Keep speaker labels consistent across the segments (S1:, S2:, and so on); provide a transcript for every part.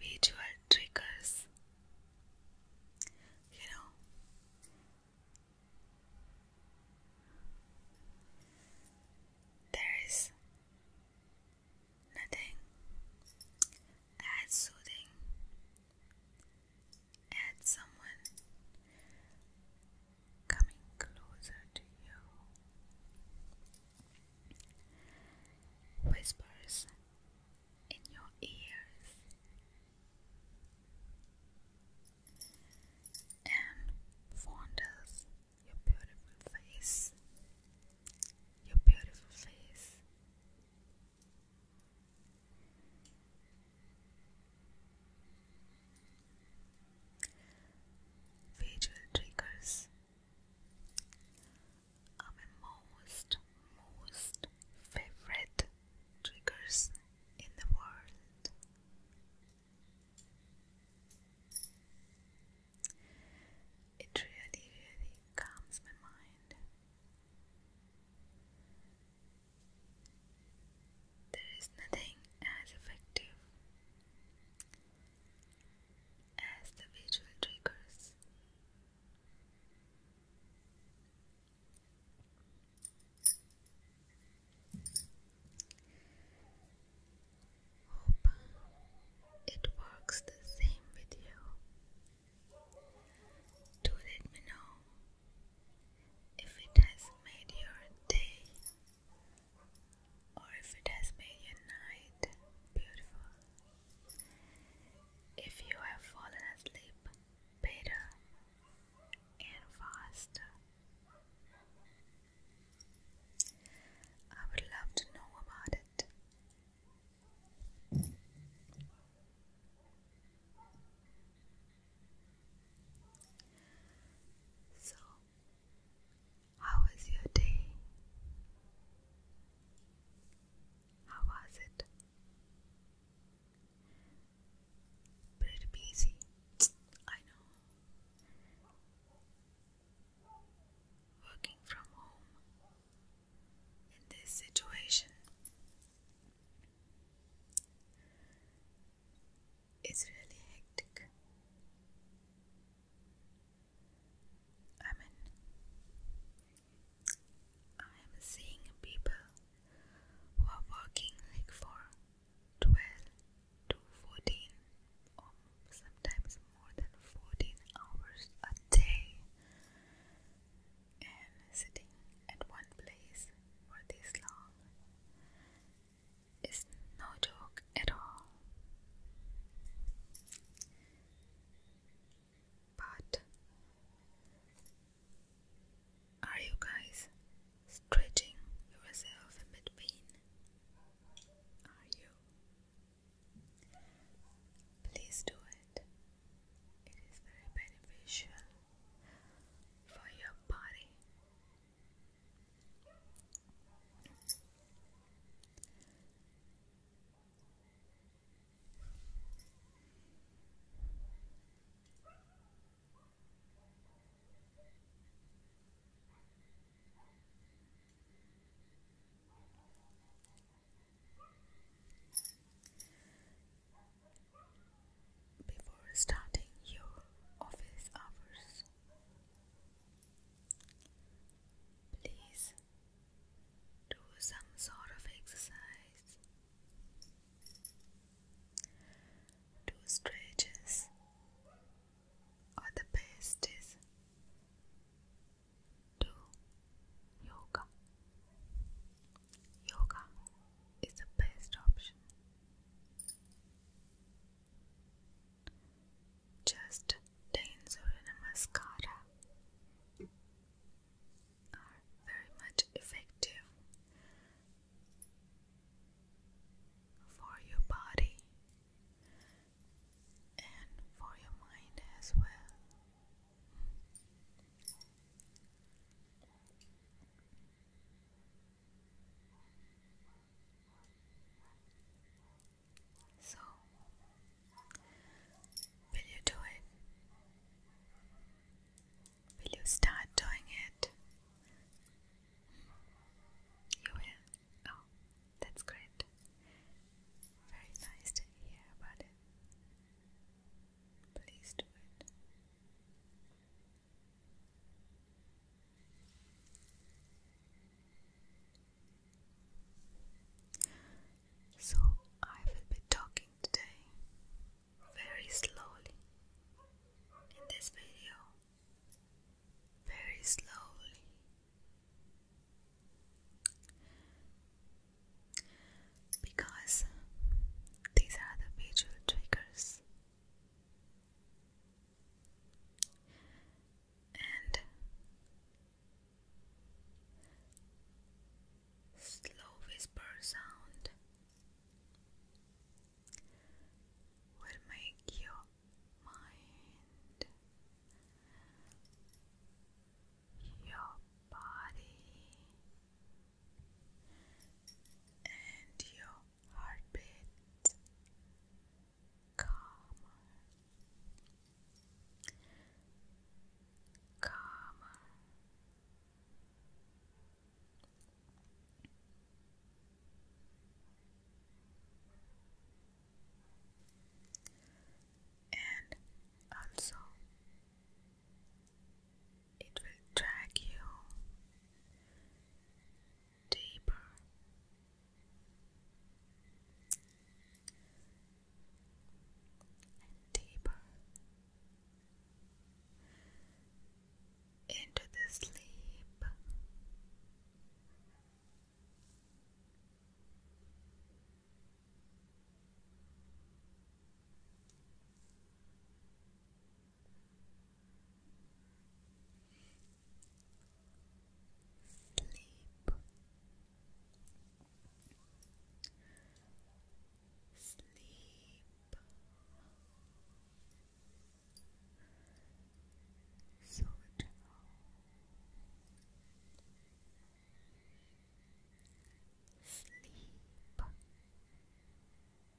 S1: visual triggers. You know, there is nothing as soothing as someone coming closer to you whispers in your ears and fondles your beautiful face, your beautiful face. Visual triggers. Are my most, most favorite triggers in the world. It really, really calms my mind. There is nothing as effective as the visual triggers. Hope it works the same with you. Do let me know if it has made your day or if it has made your night beautiful. If you have fallen asleep better and faster, I would love to know about it. So, how was your day? How was it? Pretty busy, I know. Working from home in this situation. It's really hectic. I mean, I am seeing people who are working like for 12 to 14 or sometimes more than 14 hours a day and sitting at one place for this long it's no joke at all. But are you guys stretching yourself in between? Are you? Please do it. It is very beneficial for your body before starting your office hours, Please do some sort of exercise. Do stretches, or the best do yoga. Yoga is the best option. Just plain Surya Namaskara are very much effective for your body and for your mind as well. So, will you do it? Will you start doing it? You will. Oh, that's great. Very nice to hear about it. Please do it. So, I will be talking today very slowly in this video, very slowly. Because these are the visual triggers and slow whisper sound will make your mind, your body, and your heartbeat calmer calmer and also it will drag you deeper. And deeper into the sleep. Sleep. Sleep. So Sleep. Sleep.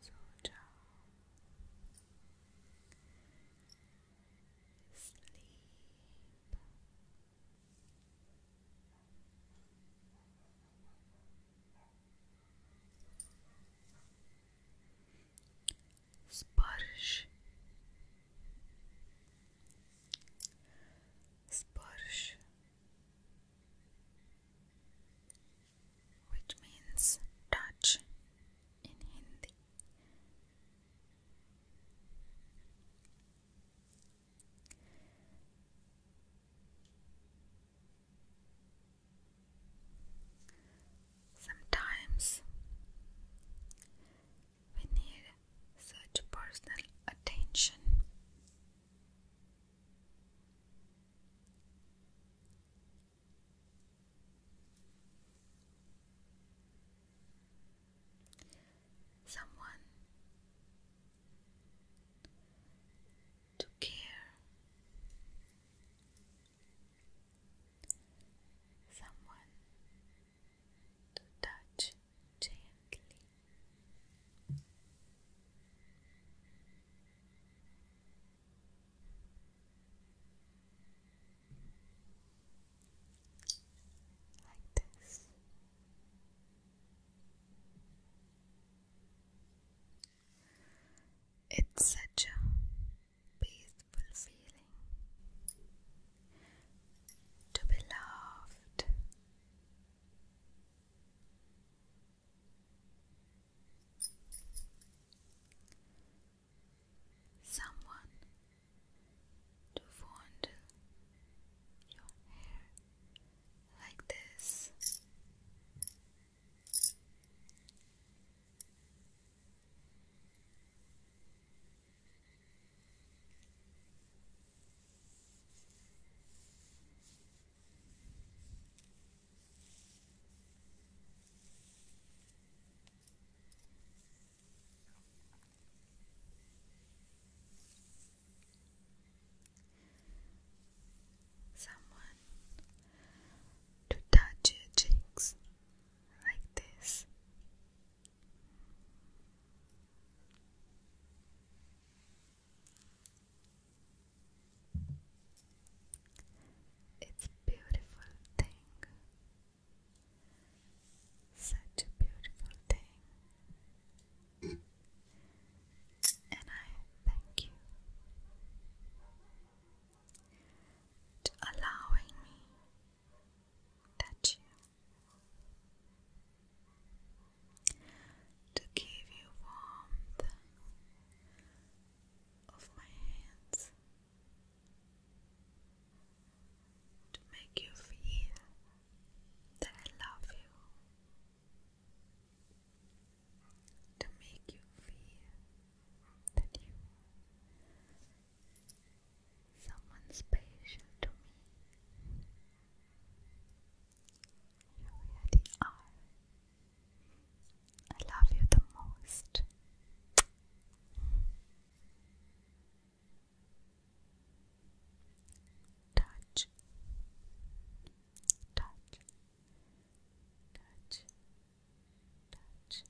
S1: So sleep. Sparsh Sparsh, which means touch in Hindi. Sometimes we need such personal attention. Someone to care, someone to touch gently. Like this. It's such a peaceful to be loved. Someone to fondle your hair like this. Someone to touch your like this it's a beautiful thing, such a beautiful thing, and I thank you to allowing me touch you, to give you warmth of my hands, to make you feel that I love you. To make you feel that you someone special to me. You really are. I love you the most. touch, touch, touch, touch,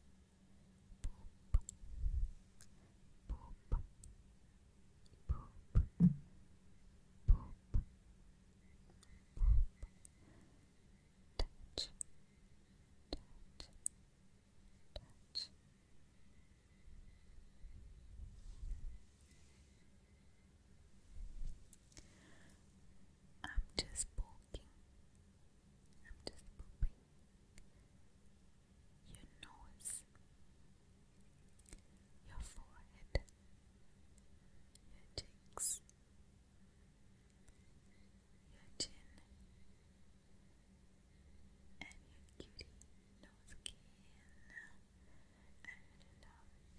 S1: Poop. Poop. I'm just poking, I'm just pooping your nose, your forehead, your cheeks, your chin, and your cutie nose skin. I really love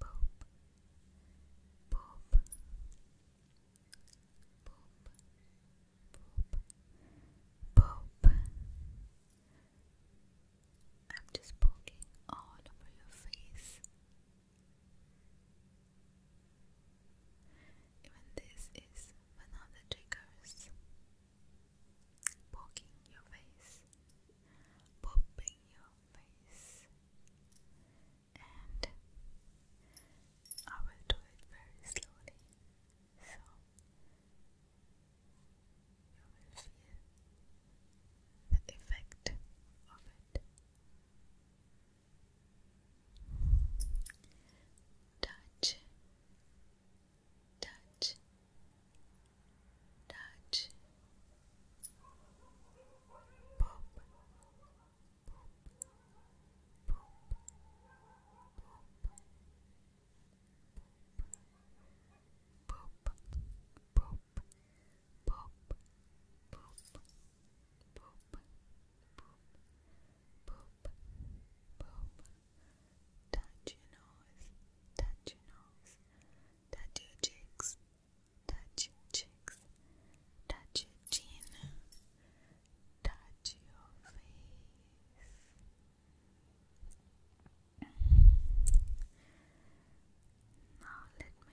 S1: Boop. Boop. Boop. Boop. Boop. I'm just poking all over your face. Even this is one of Poking your face. Popping your face and I will do it very slowly so you will feel the effect of it. Touch, touch, touch, pop, pop, pop, pop. Pop, pop, pop, pop, pop, pop, pop, pop. Touch your nose, touch your nose, touch your cheeks, touch your cheeks, touch your chin, touch your face. Now let me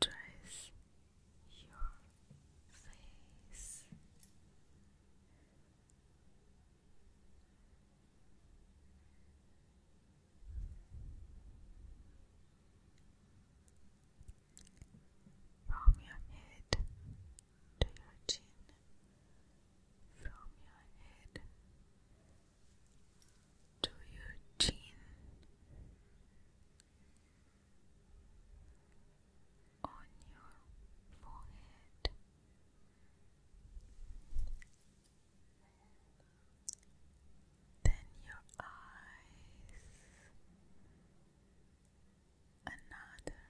S1: dress your face. From your head to your chin, from your head to your chin. On your forehead, then your eyes, another eye,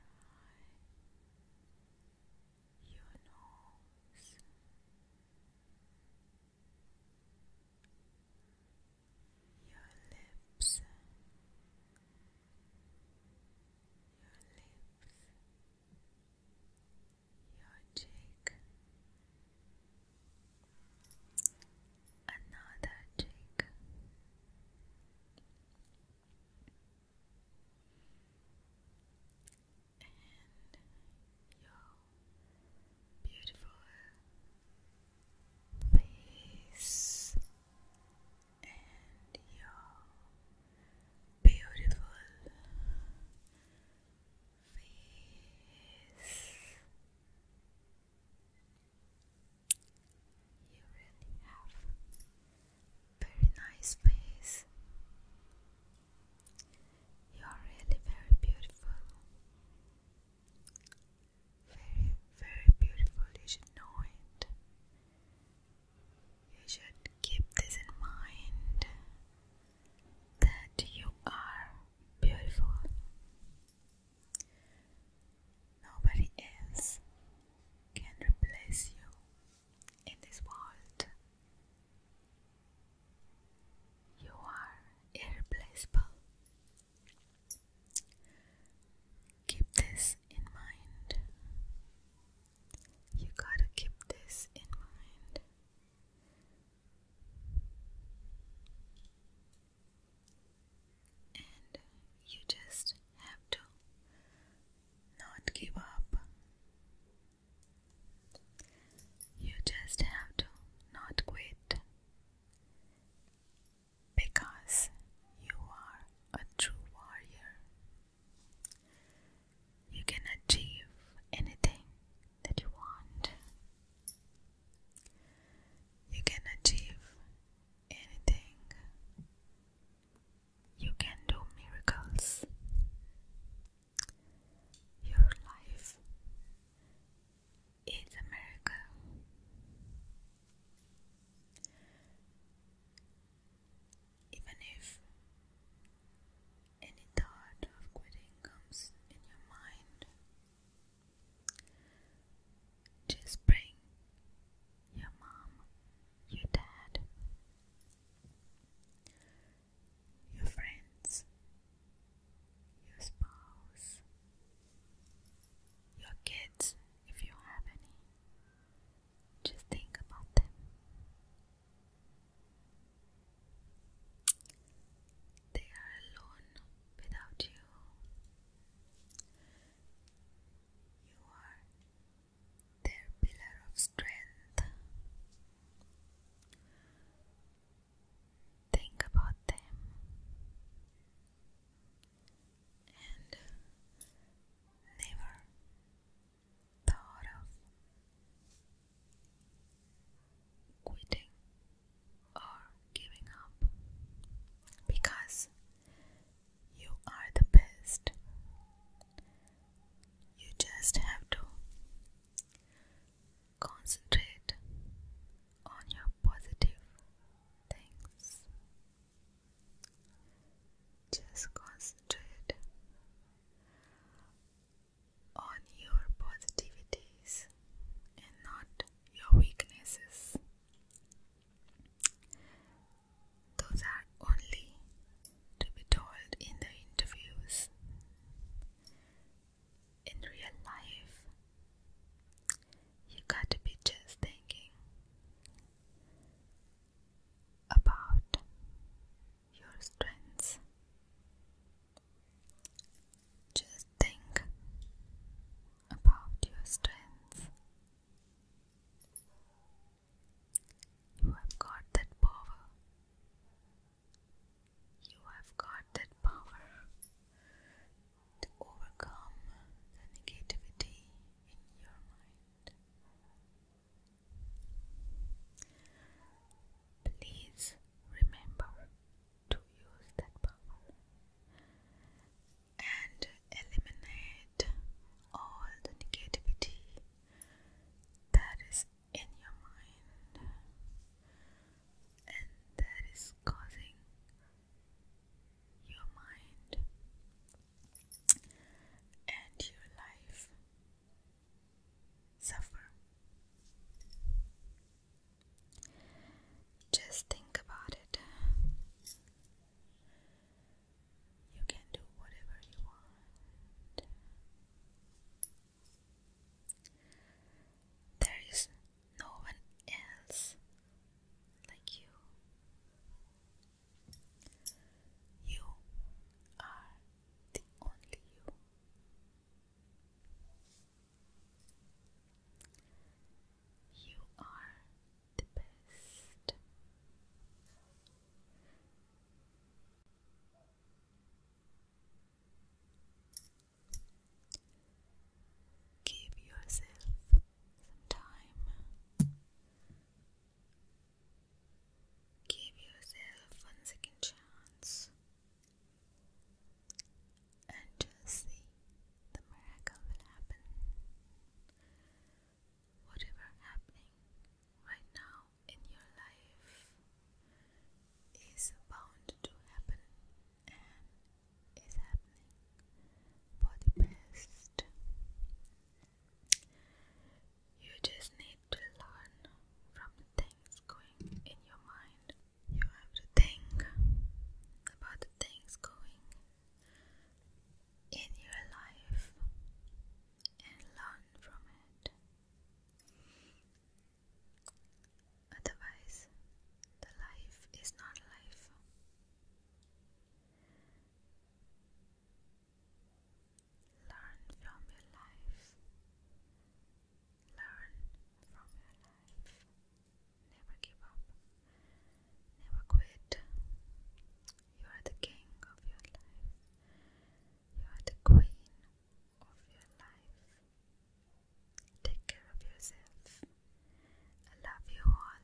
S1: your nose. Your lips, your lips, your cheek, another cheek. And your beautiful face and your beautiful face. You really have very nice face. You are really very beautiful. Very, very beautiful. You should know it. You should keep this in mind that you are beautiful. Nobody else can replace you in this world. You are irreplaceable. Keep this in mind. You gotta keep this in mind and you just have to not give up. You just have to not quit because you are a true warrior you can achieve anything that you want. You can achieve anything. You can do miracles. Your life is a miracle. Even if any thought of quitting comes in your mind. Just bring your mom, your dad, your friends, your spouse, your kids, if you have any. Just think about them. They are alone without you. You are their pillar of strength. Think about them and never thought of quitting or giving up because you are the best. You just have to concentrate on your positive things. Just concentrate on your positivities and not your weaknesses. Those are only to be told in the interviews. In real life, you got to be just thinking about your strengths. Just think about your strengths. You have got that power. You have got that power to overcome the negativity in your mind. Please remember to use that power and eliminate all the negativity that is in your mind and that is causing your mind and your life suffer. Just think about it. You can do whatever you want. There is no one else like you. You are the only you. You are the best. Give yourself time Give yourself one second chance and just see the miracle will happen. Whatever happening right now in your life is bound to happen and is happening for the best. You just need to learn from things going in your mind. You have to think about the things going in your life and learn from it. Otherwise, the life is not life. Learn from your life. Learn from your life. Never give up. Never quit. You are the king of your life. You are the queen of your life. Take care of yourself. I love you all.